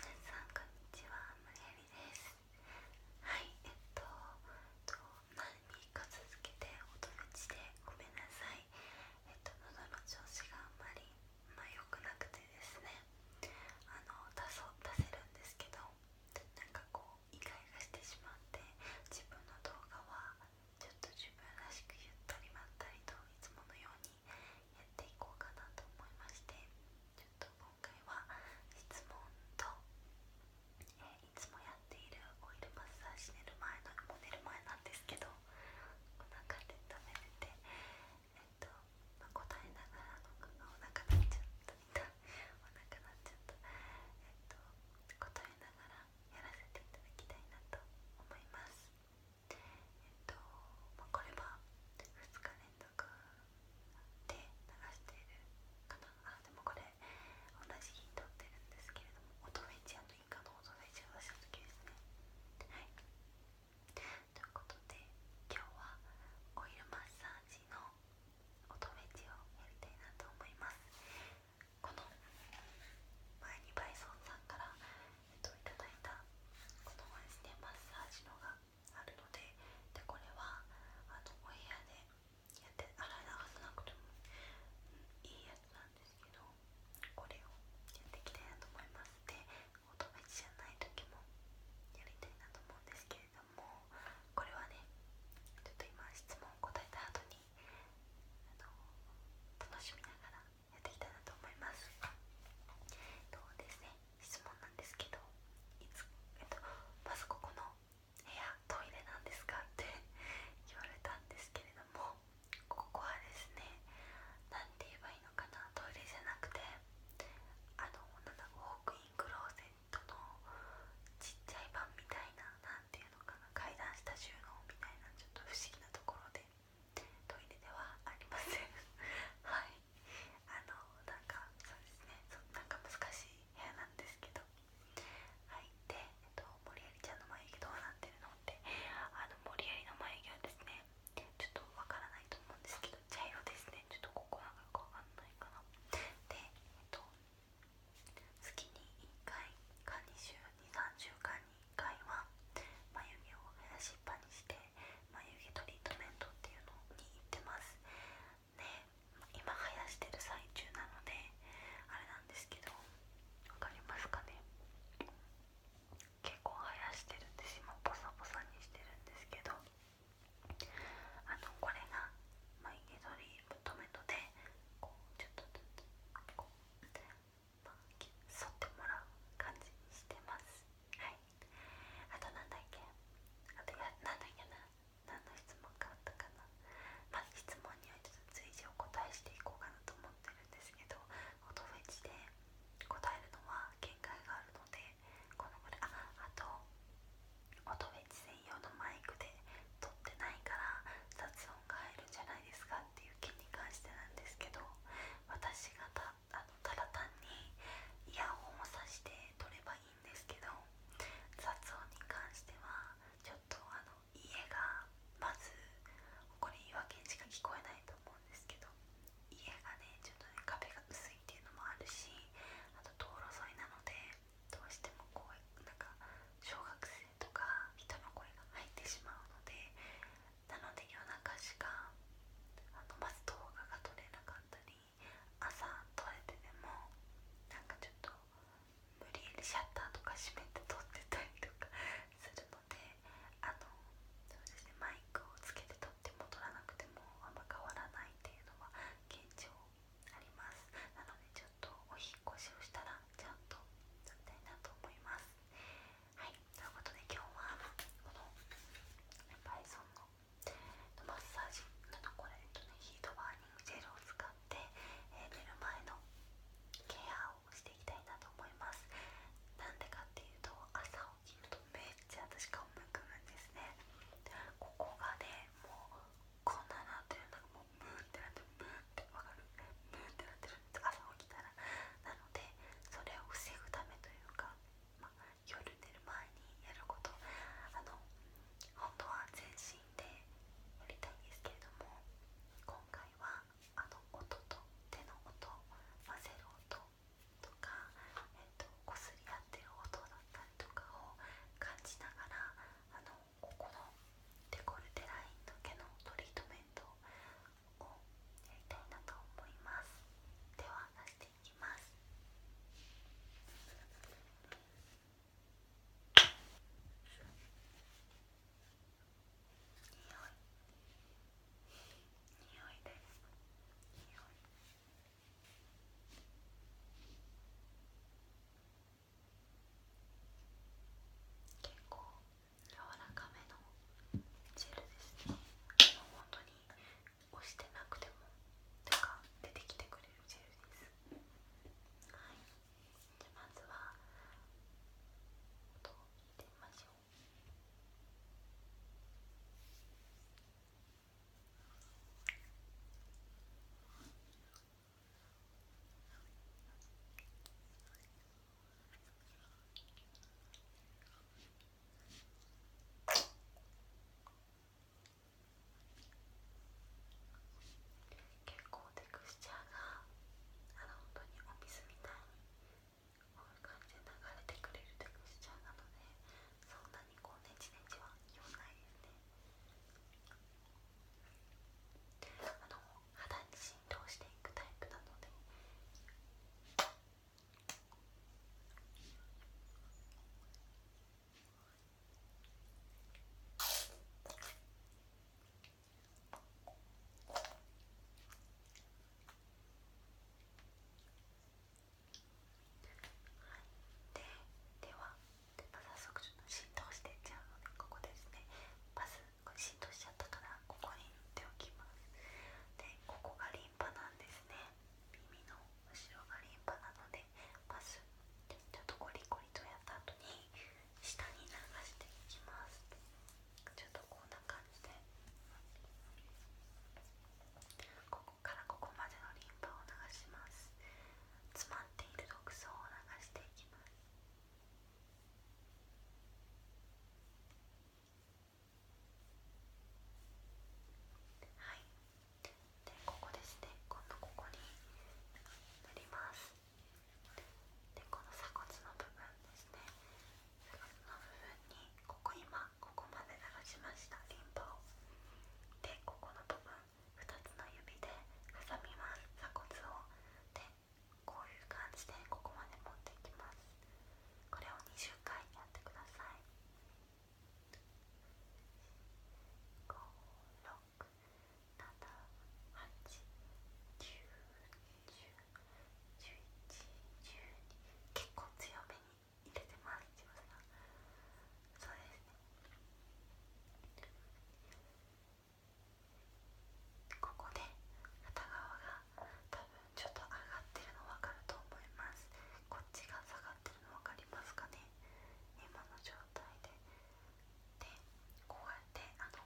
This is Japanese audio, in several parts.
皆さんこんにちは、むねみですはい、えっと、えっと、何日続けて音打ちでごめんなさいえっと、喉の調子があんまり、ま良くなくてですねあの、出そ出せるんですけどなんかこう、イガイガしてしまって自分の動画はちょっと自分らしくゆったりまったりといつものようにやっていこうかなと思いましてちょっと今回は質問と、えいつもやっているオイルマッサージ寝る前の寝る前なんですけどお腹で止めてえっと、ま答えながらのお腹なっちゃったお腹なっちゃったえっと答えながらやらせていただきたいなと思います。とまあ、これは2日連続で流しているかなあでもこれ同じ日に撮ってるんですけれども音フェチイカの音フェチを出した時ですねはいということで今日はオイルマッサージの音フェチをやりたいなと思いますこの前にバイソンさんからいただいたこのですねマッサージのがあるのででこれはあのお部屋でやって洗い流さなくても、いいやつなんですけどこれをやっていきたいなと思いますでお友達じゃない時もやりたいなと思うんですけれどもこれはねちょっと今質問を答えた後に楽しみながら。やっていきたいなと思いますとですね質問なんですけどいつ、えっと、まずここの部屋トイレなんですかって言われたんですけれどもここはですねなんて言えばいいのかなトイレじゃなくてあのなんだウォークインクローゼットのちっちゃい版みたいななんていうのかな階段下収納みたいなちょっと不思議なところで。トイレではありません はいあのなんかそうですねそなんか難しい部屋なんですけどはいで、えっと、森有ちゃんの眉毛どうなってるのってあの森有の眉毛はですねちょっとわからないと思うんですけど茶色ですねちょっとここなんかよくわかんないかなでえっと月に1回か2週2 3週間に1回は眉毛を生やしっぱにして眉毛トリートメントっていうのに行ってますね今生やしてる最中なのであれなんですけど分かりますかね結構生やしてるんです今ボサボサにしてるんですけどあのこれが眉毛トリートメントでこうちょっとこうまってもらう感じにしてますはいあと何だっけあと何だっけな何の質問があったかなまあ質問にはちょっと随時お答えしていこうかなと思ってるんですけど音フェチで答えるのは限界があるのでこのぐらいああと音フェチ専用のマイクで撮ってないから雑音が入るんじゃないですかっていう件に関してなんですけど私が多はあのただ単にイヤホンをさして撮ればいいんですけど雑音に関してはちょっとあの家がまずこれ言い訳しか聞こえないと思うんですけど家がねちょっとね壁が薄いっていうのもあるしあと道路沿いなのでどうしてもこうなんか小学生とか人の声が入ってしまうのでなので夜中しかまず動画が撮れなかったり朝撮れてでもなんかちょっと無理やりシャッターとか閉めて撮ってたりとかするのであのそうですねマイクをつけて撮っても撮らなくてもあんま変わらないっていうのは現状ありますなのでちょっとお引越しをしたらちゃんと撮りたいなと思います。はい、ということで今日はこの p イソンのマッサージのこれ、ね、ヒートバーニングジェルを使って、え寝る前のケアをしていきたいなと思いますなんでかっていうと朝起きるとめっちゃ私顔むくむんですねここがねもうこんななってるのがもうムーってなってムーってわかる朝起きたらなのでそれを防ぐためというか、まあ、夜寝る前にやることあの本当は全身でやりたいんですけれども今回はあの音と手の音混ぜる音とか、えっと、こすり合ってる音だったりとかを感じながらあのここのデコルテラインだ毛のトリートメントをやりたいなと思います匂い匂いです結構柔らかめのジェルですねもう本当に押してなくても手か出てきてくれるジェルですはいじゃあまずは音を聞いてみましょうはい、結構テクスチャーがあの本当にお水みたいにこういう感じで流れてくれるテクスチャーなのでそんなにこうねちねちは言わないですねあの肌に浸透していくタイプなのではでは早速浸透していっちゃうのでここですねこ浸透しちゃったからここに塗っておきますでここがリンパなんですね耳の後ろがリンパなのでまずちょっとゴリゴリとやった後に下に流していきますちょっとこんな感じでここからここまでのリンパを流します詰まっている毒素を流していきますはいでここですね今度ここに塗りますでこの鎖骨の部分ですね鎖骨の部分にここ今ここまで流しましたリンパをでここの部分2つの指で挟みます鎖骨をでこういう感じでここまで持ってきますこれを20回やってください5 6 7 8 9 1 0 1 1 1 2結構強めに入れてます自分がそうですねここで片側が多分ちょっと上がってるの分かると思いますこっちが下がってるの分かりますかね今の状態ででこうやってあの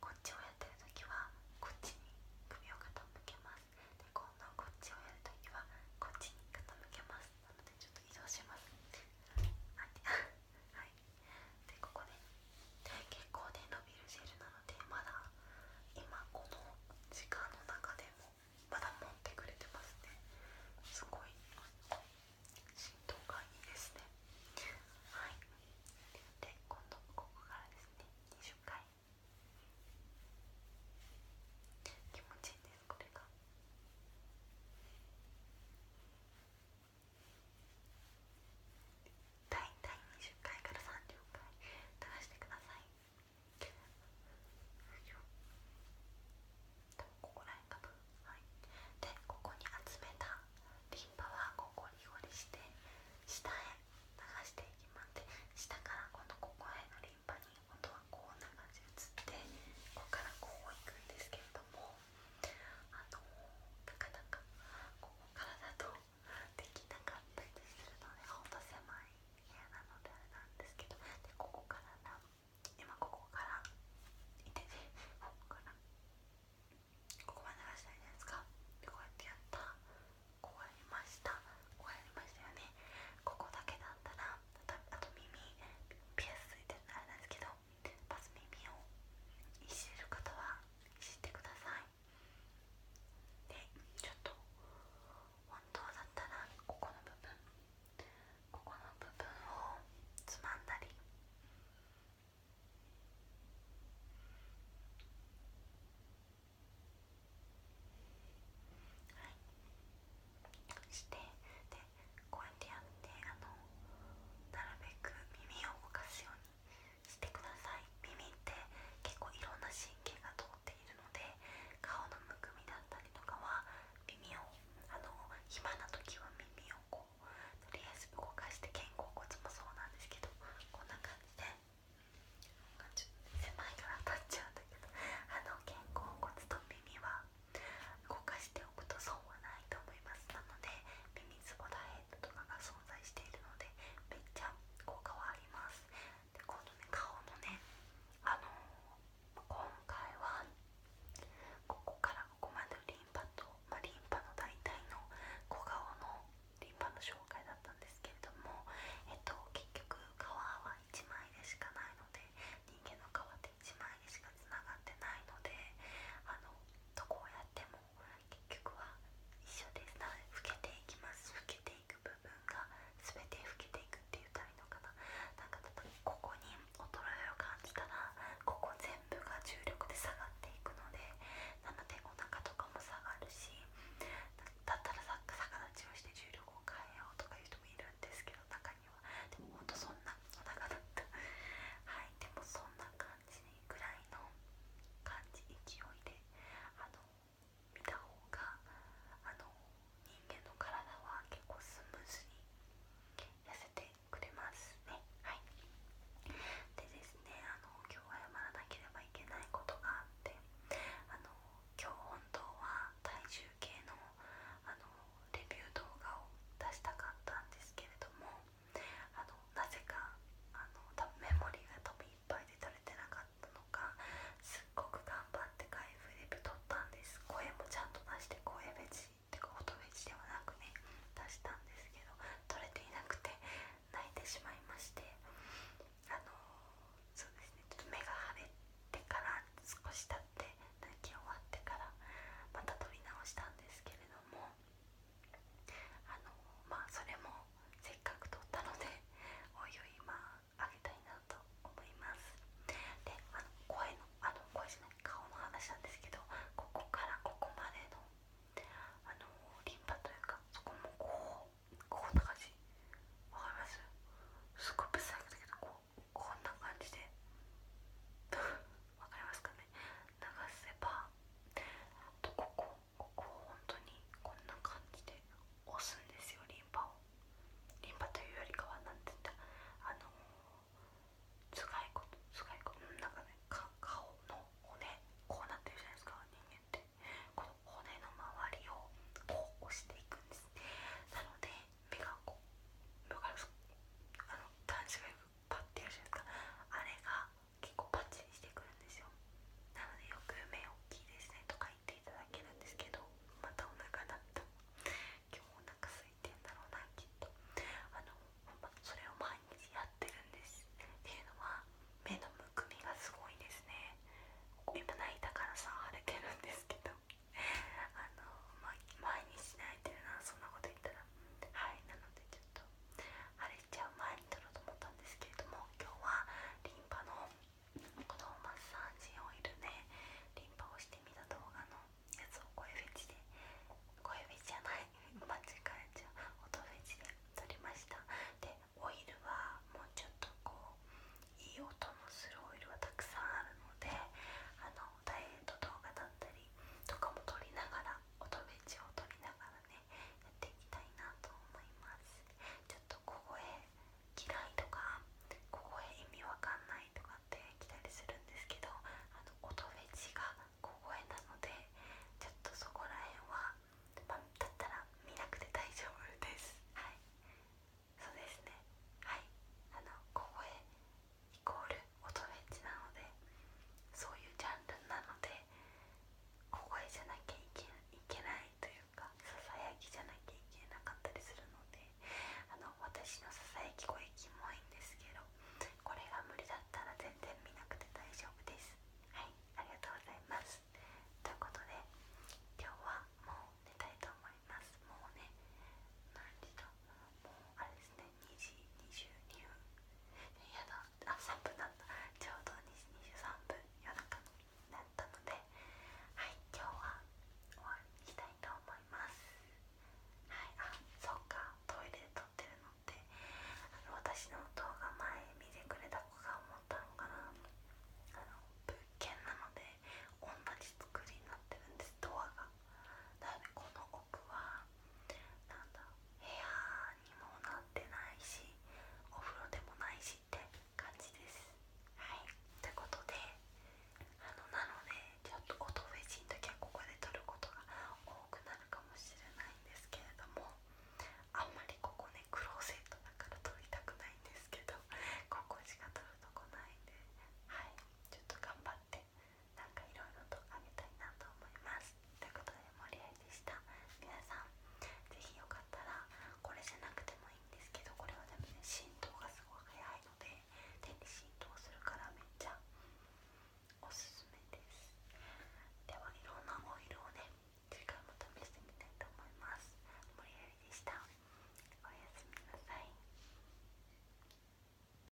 こっちをやってる時はこっちに首を傾けますで今度こっちをやる時はこっちに傾けますなのでちょっと移動しますはいでここね結構ね伸びるジェルなのでまだ今この時間の中でもまだ持ってくれてますねすごい浸透がいいですねはいで今度ここからですね20回気持ちいいですこれが。大体20回から30回垂らしてくださいここら辺かと。でここに集めたリンパはここにゴりして下へ流していきますで下から今度ここへのリンパに今度はこう流し移ってここからこういくんですけれどもあのなかなかここからだとできなかったりするのでほん狭いここからな今ここからここからここまで流したいじゃないですかでこうやってやったこうやりましたこうやりましたよねここだけだったらあと耳ピアスついてるのあれなんですけどまず耳をいじれる方はしてくださいでちょっと本当だったらここの部分ここの部分をつまんだりしてでこうやってやってあのなるべく耳を動かすようにしてください耳って結構いろんな神経が通っているので顔のむくみだったりとかは耳をあの暇な時は耳をこうとりあえず動かして肩甲骨もそうなんですけどこんな感じで狭いから当たっちゃうんだけどあの肩甲骨と耳は動かしておくと損はないと思いますなので耳水ボダヘッドとかが存在しているのでめっちゃ効果はありますで今度ね顔のねあの今回はここからここまでリンパと、まリンパの大体の小顔のリンパの紹介だったんですけれども、えっと、結局皮は1枚でしかないので人間の皮って1枚でしかつながってないのであのどこをやっても結局は一緒ですな老けていきます老けていく部分が全て老けていくって言ったらいいのかななんかここに衰えを感じたらここ全部が重力で下がっていくのでなのでお腹とかも下がるしだったら逆立ちをして重力を変えようとかいう人もいるんですけど中にはでもほんとそんなお腹だったはいでもそんな感じいらいの感じ勢いで見た方があの人間の体は結構スムーズに痩せてくれますねはいでですねあの今日は謝らなければいけないことがあってあの今日本当は体重計のあのレビュー動画を出したかったんですけれどもあのなぜかあのメモリが多分いっぱいで足れてなかったのかすっごく頑張って回復レビュったんです声もちゃんと出して声フェチってか音フェではなくね出したんですけど取れていなくて泣いてしまいましてあのそうですねちょっと目が腫れてから少し経って泣き終わってからまた撮り直したんですけれども。あのまあそれもせっかく撮ったので おいおいまああげたいなと思いますであの声のあの声じゃない顔の話なんですけどここからここまでのあのリンパというかそこもこうこんな感じわかりますすごい不細工だけどこうこんな感じで わかりますかね流せばとここここを本当にこんな感じで押すんですよリンパをリンパというよりかは何て言ったあのつがいことつがいことなんかねか顔の骨こうなってるじゃないですか人間ってこの骨の周りをこう押していくんですなので目がこう分かあの男子パッてやるじいでかあれが結構パッチンしてくるんですよなのでよく「目大きいですね」とか言っていただけるんですけどまたお腹だった今日お腹空いてんだろうなきっとあの、ま、それを毎日やってるんですっていうのは目のむくみがすごいですね今泣いたからさ腫れてるんですけどあの、毎日泣いてるなそんなこと言ったらはいなのでちょっと腫れちゃう前に撮ろうと思ったんですけれども今日はリンパのこのマッサージオイルでリンパをしてみた動画のやつを声フェチで声フェチじゃない間違えちゃう音フェチで撮りましたでオイルはもうちょっとこういい音のするオイルはたくさんあるのであのダイエット動画だったりとかも撮りながら音ベチを取りながらねやっていきたいなと思いますちょっと小声嫌いとか小声意味わかんないとかって来たりするんですけどあの音ベジが小声なのでちょっとそこら辺は、ま、だったら見なくて大丈夫ですはいそうですねはいあの小声イコール音フェチなのでそういうジャンルなので小声じゃなきゃいけないというかささやきじゃなきゃいけなかったりするのであの私のささやき声も多いんですけどこれが無理だったら全然見なくて大丈夫ですはいありがとうございますということで今日はもう寝たいと思いますもうねあれですね2時22分やだあ3分だったちょうど2時23分夜中になったので今日は終わりにしたいと思いますはいあそっかトイレで撮ってるのって私の動画前見てくれた子が思ったのかなあの物件なので同じ作りになってるんですドアがだよねこの奥はなんだ部屋にもなってないしお風呂でもないしって感じですはいってことであのなのでちょっと音フェチの時はここで撮ることが多くなるかもしれないんですけれどもあんまりここねクローゼットだから撮りたくないんですけどここしか撮るとこないんではいちょっと頑張ってなんかいろいろとあげたいなと思いますということで盛り森愛でした皆さん是非よかったらこれじゃなくてもいいんですけどこれはでもね浸透がすごい早いので手に浸透するからめっちゃおすすめですではいろんなオイルをね次回も試してみたいと思います盛り森愛でしたおやすみなさい